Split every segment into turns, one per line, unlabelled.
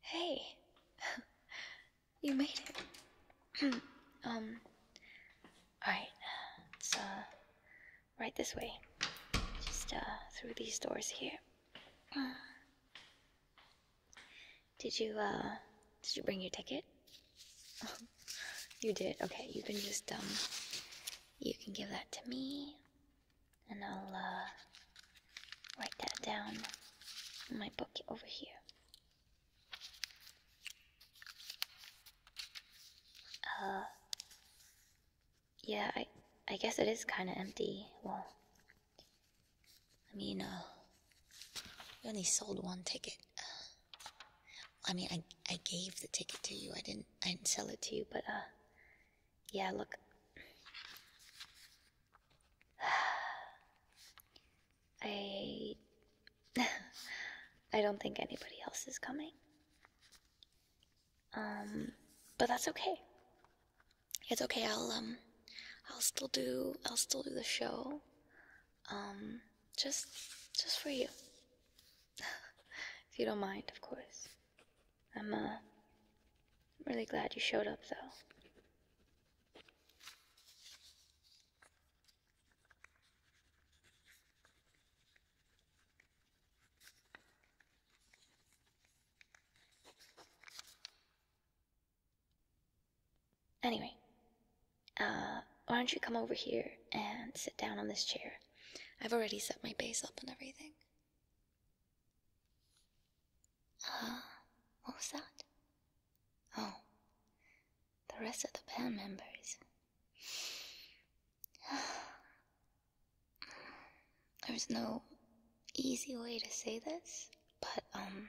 Hey, you made it. um, alright, it's uh, right this way. Just uh, through these doors here. did you, uh, did you bring your ticket? you did, okay, you can just, um, you can give that to me, and I'll, uh, write that down in my book over here. Uh, yeah, I, I guess it is kind of empty. Well, I mean, uh, we only sold one ticket. I mean, I, I gave the ticket to you. I didn't, I didn't sell it to you, but, uh, yeah, look, I. I don't think anybody else is coming. Um, but that's okay. It's okay. I'll um, I'll still do. I'll still do the show. Um, just, just for you. if you don't mind, of course. I'm uh, really glad you showed up, though. Anyway, uh, why don't you come over here and sit down on this chair? I've already set my base up and everything. Uh, what was that? Oh, the rest of the band members. There's no easy way to say this, but, um,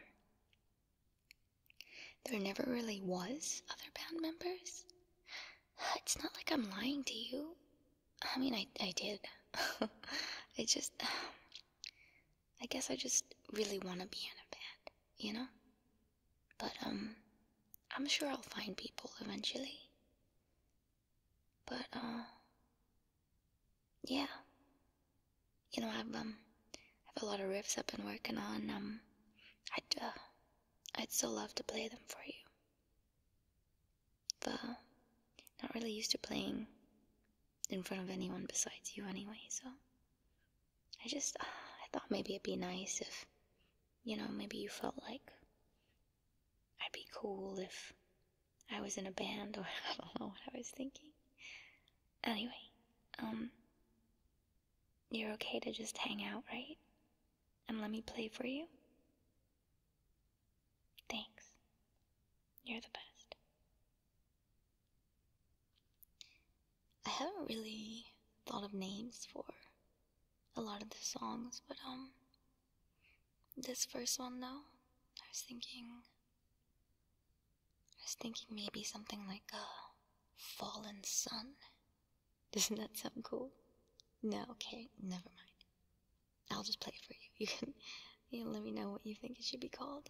there never really was other band members. It's not like I'm lying to you. I mean, I, I did. I just. I guess I just really want to be in a band, you know? But, um, I'm sure I'll find people eventually. But, uh, yeah. You know, I've, um, I've a lot of riffs I've been working on, um, I'd, uh, I'd still love to play them for you. But, not really used to playing in front of anyone besides you anyway, so I just uh, I thought maybe it'd be nice if you know, maybe you felt like I'd be cool if I was in a band or I don't know what I was thinking. Anyway, um you're okay to just hang out, right? And let me play for you? Thanks. You're the best. I haven't really thought of names for a lot of the songs, but um, this first one though, I was thinking, I was thinking maybe something like a uh, fallen sun. Doesn't that sound cool? No, okay, never mind. I'll just play it for you. You can and let me know what you think it should be called.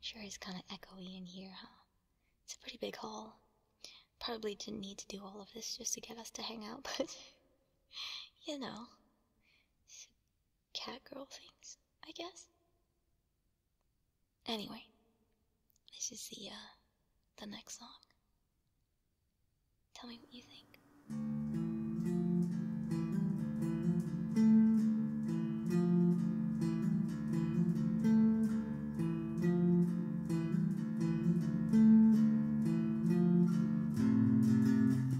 Sure it's kind of echoey in here, huh? It's a pretty big hall. Probably didn't need to do all of this just to get us to hang out, but you know, Cat girl things, I guess. Anyway, this is the uh, the next song. Tell me what you think.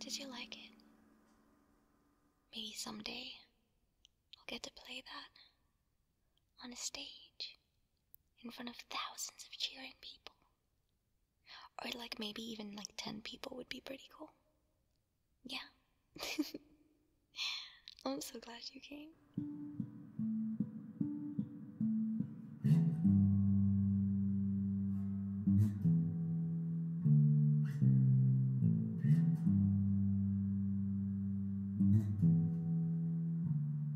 Did you like it? Maybe someday I'll get to play that on a stage in front of thousands of cheering people. Or, like, maybe even like 10 people would be pretty cool. Yeah. I'm so glad you came.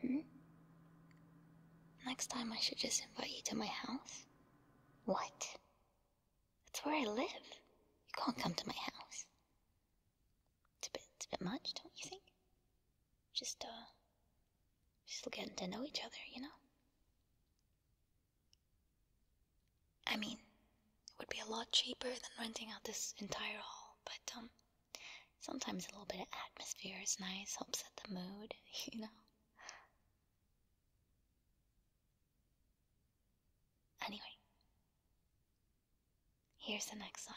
Hmm? Next time I should just invite you to my house? What? That's where I live. You can't come to my house. It's a bit, it's a bit much, don't you think? Just, uh, still getting to know each other, you know? I mean, it would be a lot cheaper than renting out this entire hall, but, um, sometimes a little bit of atmosphere is nice, helps set the mood, you know? Anyway, here's the next song.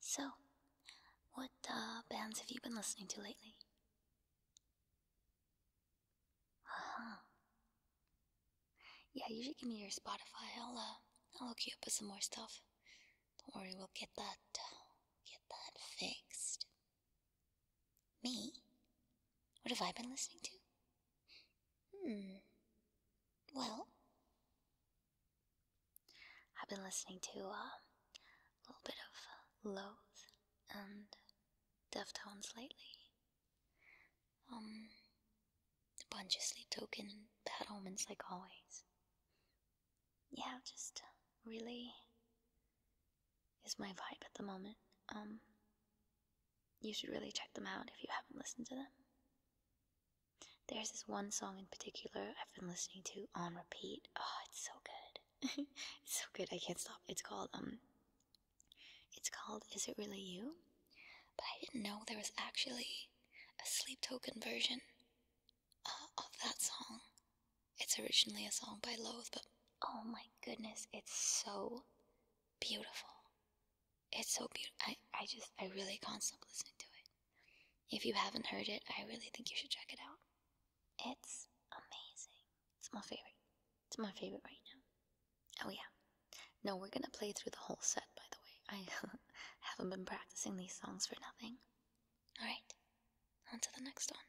So, what uh, bands have you been listening to lately? Uh huh. Yeah, you should give me your Spotify. I'll uh, I'll hook you up with some more stuff. Don't worry, we'll get that uh, get that fixed. Me? What have I been listening to? Hmm. Well, I've been listening to uh, a little bit of uh, Loath and Deftones lately. Um, a bunch of Sleep Token and Bad Omens, like always. Yeah, just uh, really is my vibe at the moment. Um, you should really check them out if you haven't listened to them. There's this one song in particular I've been listening to on repeat. Oh, it's so good. it's so good. I can't stop. It's called um It's called Is It Really You? But I didn't know there was actually a sleep token version uh, of that song. It's originally a song by Loathe, but oh my goodness, it's so beautiful. It's so beautiful. I, I just, I really can't stop listening to it. If you haven't heard it, I really think you should check it out. It's amazing. It's my favorite. It's my favorite right now. Oh, yeah. No, we're gonna play through the whole set, by the way. I haven't been practicing these songs for nothing. Alright,
onto the next one.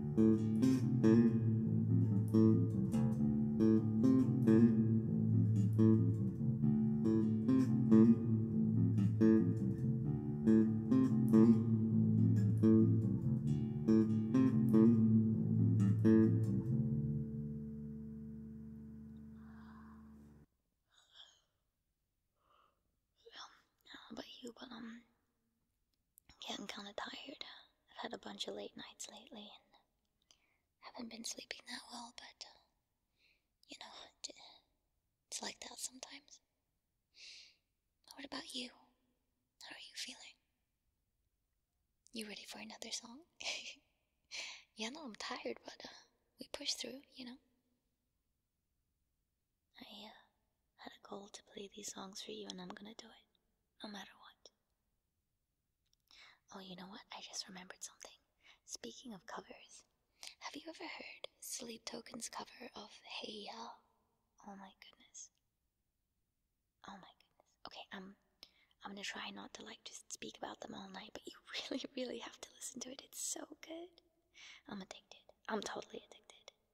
Um, I
don't know about you, but um, yeah, I'm kinda tired. I've had a bunch of late nights lately and haven't been sleeping that well, but uh, you know, it's like that sometimes. What about you? How are you feeling? You ready for another song? yeah, know, I'm tired, but uh, we push through, you know? I uh, had a goal to play these songs for you, and I'm gonna do it, no matter what. Oh, you know what? I just remembered something. Speaking of covers, have you ever heard Sleep Token's cover of Hey Ya? Oh my goodness. Oh my goodness. Okay, i I'm gonna try not to like just speak about them all night, but you really, really have to listen to it. It's so good. I'm addicted. I'm totally addicted.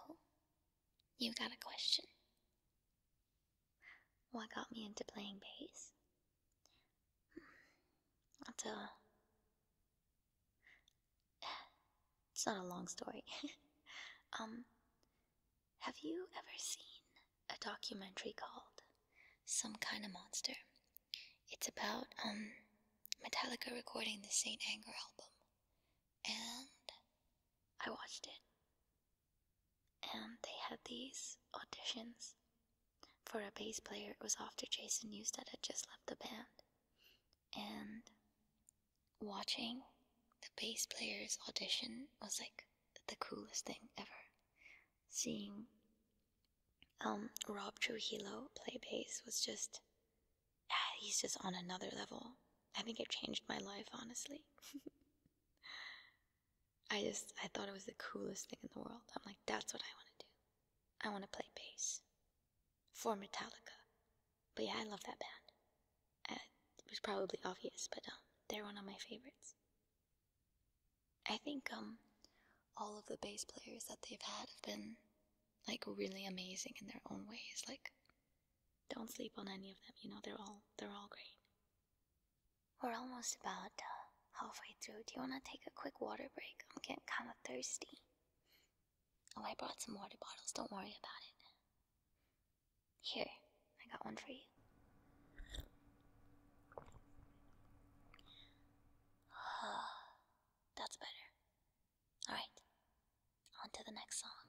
Oh, you got a question? What got me into playing bass? I'll It's not a long story. um, have you ever seen a documentary called Some Kind of Monster? It's about, um, Metallica recording the Saint Anger album. And I watched it. And they had these auditions for a bass player, it was after Jason Newsted had just left the band. And watching the bass player's audition was like the coolest thing ever. Seeing um, Rob Trujillo play bass was just, ah, he's just on another level. I think it changed my life, honestly. I just, I thought it was the coolest thing in the world. I'm like, that's what I want to do. I want to play bass for Metallica. But yeah, I love that band. it was probably obvious, but um, they're one of my favorites. I think um, all of the bass players that they've had have been like really amazing in their own ways. Like, don't sleep on any of them. You know, they're all they're all great. We're almost about uh, halfway through. Do you want to take a quick water break? I'm getting kind of thirsty. Oh, I brought some water bottles. Don't worry about it. Here, I got one for you. That's better. Alright, on to the next song.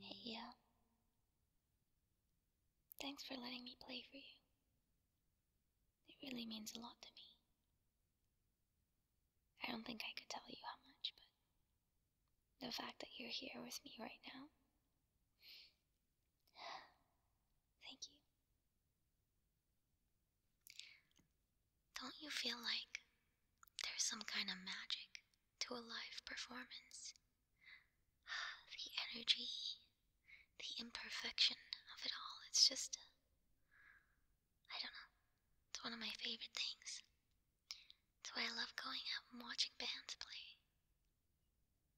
Hey, yeah. Thanks for letting me play for you. It really means a lot to me. I don't think I could tell you how much, but the fact that you're here with me right now. Thank you. Don't you feel like there's some kind of magic to a live performance? The energy, the imperfection of it all, it's just, I don't know, it's one of my favorite things. That's why I love going out and watching bands play.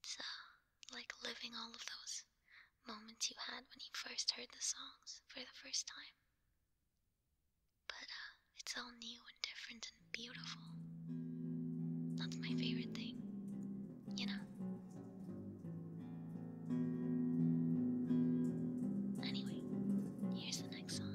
It's like living all of those moments you had when you first heard the songs for the first time. But uh, it's all new and different and beautiful. That's my favorite thing, you know? Anyway, here's the next song.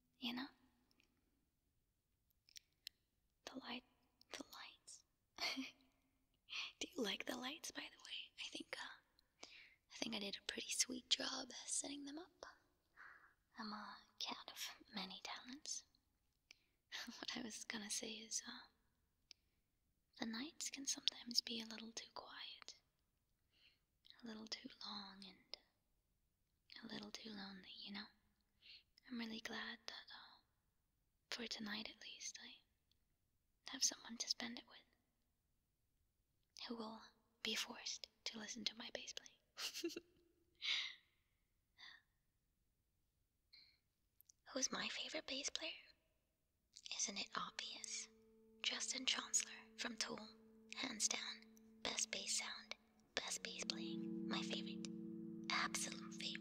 you know? The light, the lights. Do you like the lights, by the way? I think, uh, I think I did a pretty sweet job setting them up. I'm a cat of many talents. what I was gonna say is, uh, the nights can sometimes be a little too quiet a little too long and a little too lonely, you know? I'm really glad that, uh, for tonight at least, I have someone to spend it with who will be forced to listen to my bass playing. Who's my favorite bass player? Isn't it obvious? Justin Chancellor from Tool. Hands down. Best bass sound. Best bass playing. My favorite. Absolute favorite.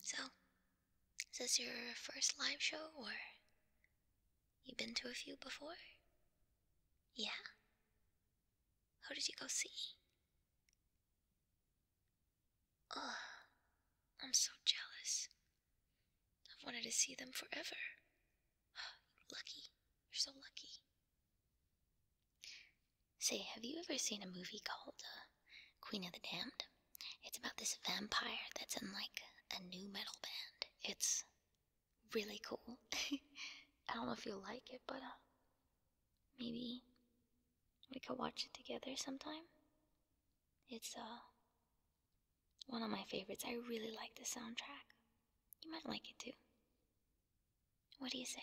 So, is this your first live show or you've been to a few before? Yeah. Who did you go see? Ugh, I'm so jealous. I've wanted to see them forever. lucky. You're so lucky. Say, have you ever seen a movie called uh, Queen of the Damned? It's about this vampire that's in like a new metal band. It's really cool. I don't know if you'll like it, but uh, maybe we could watch it together sometime. It's uh
one of my favorites. I really like
the soundtrack. You might like it too. What do you say?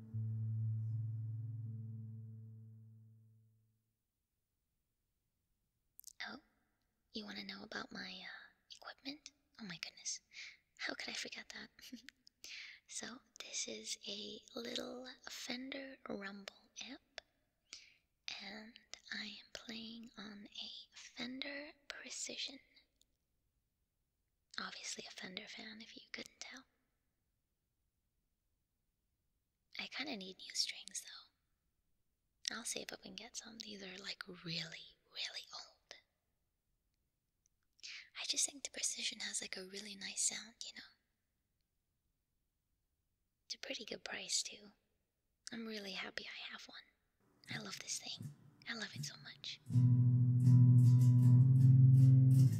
Oh, you want to know about my uh, equipment? Oh my goodness, how could I forget that? so, this is a little Fender Rumble amp, and I am playing on a Fender Precision. Obviously, a Fender fan if you couldn't tell. I kind of need new strings though. I'll see if I can get some. These are like really, really old. I just think the precision has like a really nice sound, you know? It's a pretty good price too. I'm really happy I have one. I love this thing. I love it so much.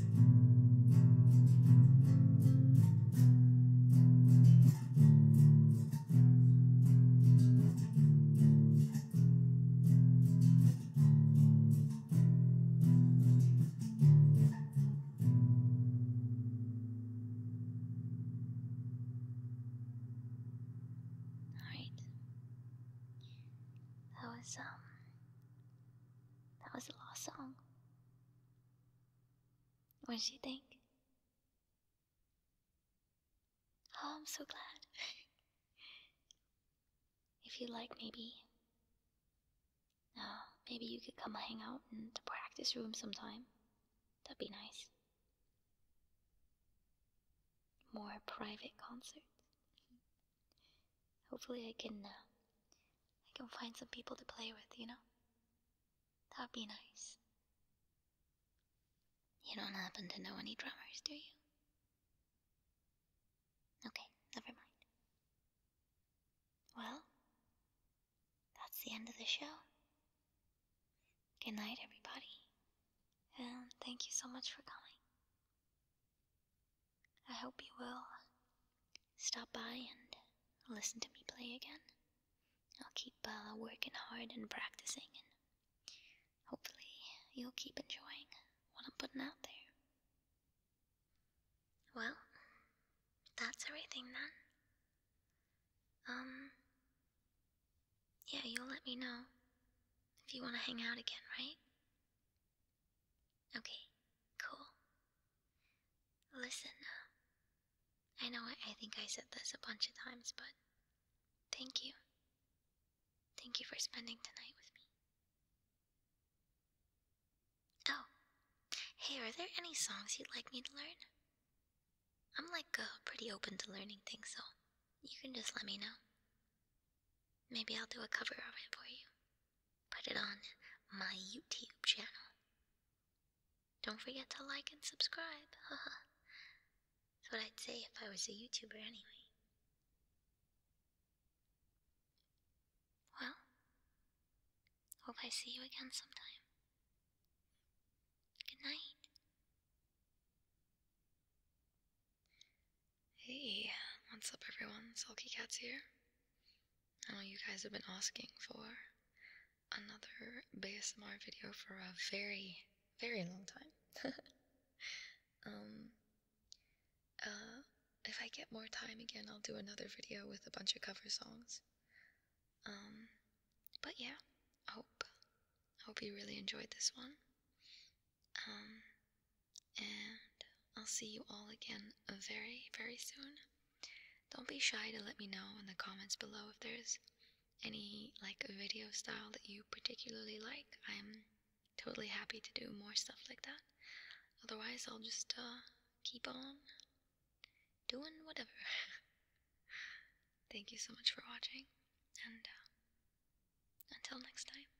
Alright. That was, um, that was the last song. What did you think? Oh, I'm so glad. if you like, maybe. Uh, maybe you could come hang out in the practice room sometime. That'd be nice. More private concerts. Hopefully I can, uh, I can find some people to play with, you know? That'd be nice. You don't happen to know any drummers, do you? Okay, never mind. Well, that's the end of the show. Good night, everybody, and thank you so much for coming. I hope you will stop by and listen to me play again. I'll keep uh, working hard and practicing, and hopefully, you'll keep enjoying what I'm putting out there. Well, that's everything then. Um, yeah, you'll let me know if you want to hang out again, right? Okay, cool. Listen, uh, I know I, think I said this a bunch of times, but thank you. Thank you for spending tonight with me. Oh, hey, are there any songs you'd like me to learn? I'm like uh, pretty open to learning things, so you can just let me know. Maybe I'll do a cover of it for you put it on my YouTube channel. Don't forget to like and subscribe, haha. That's what I'd say if I was a YouTuber anyway. Well, hope I see you again sometime. Good night. Hey, what's up everyone? Sulky Cat's here. I oh, know you guys have been asking for another BSMR video for a very, very long time. um, uh, if I get more time again, I'll do another video with a bunch of cover songs. Um, but yeah, I hope, I hope you really enjoyed this one. Um, and I'll see you all again very, very soon. Don't be shy to let me know in the comments below if there's any like video style that you particularly like. I'm totally happy to do more stuff like that. Otherwise, I'll just uh, keep on doing whatever. Thank you so much for watching, and uh, until next time.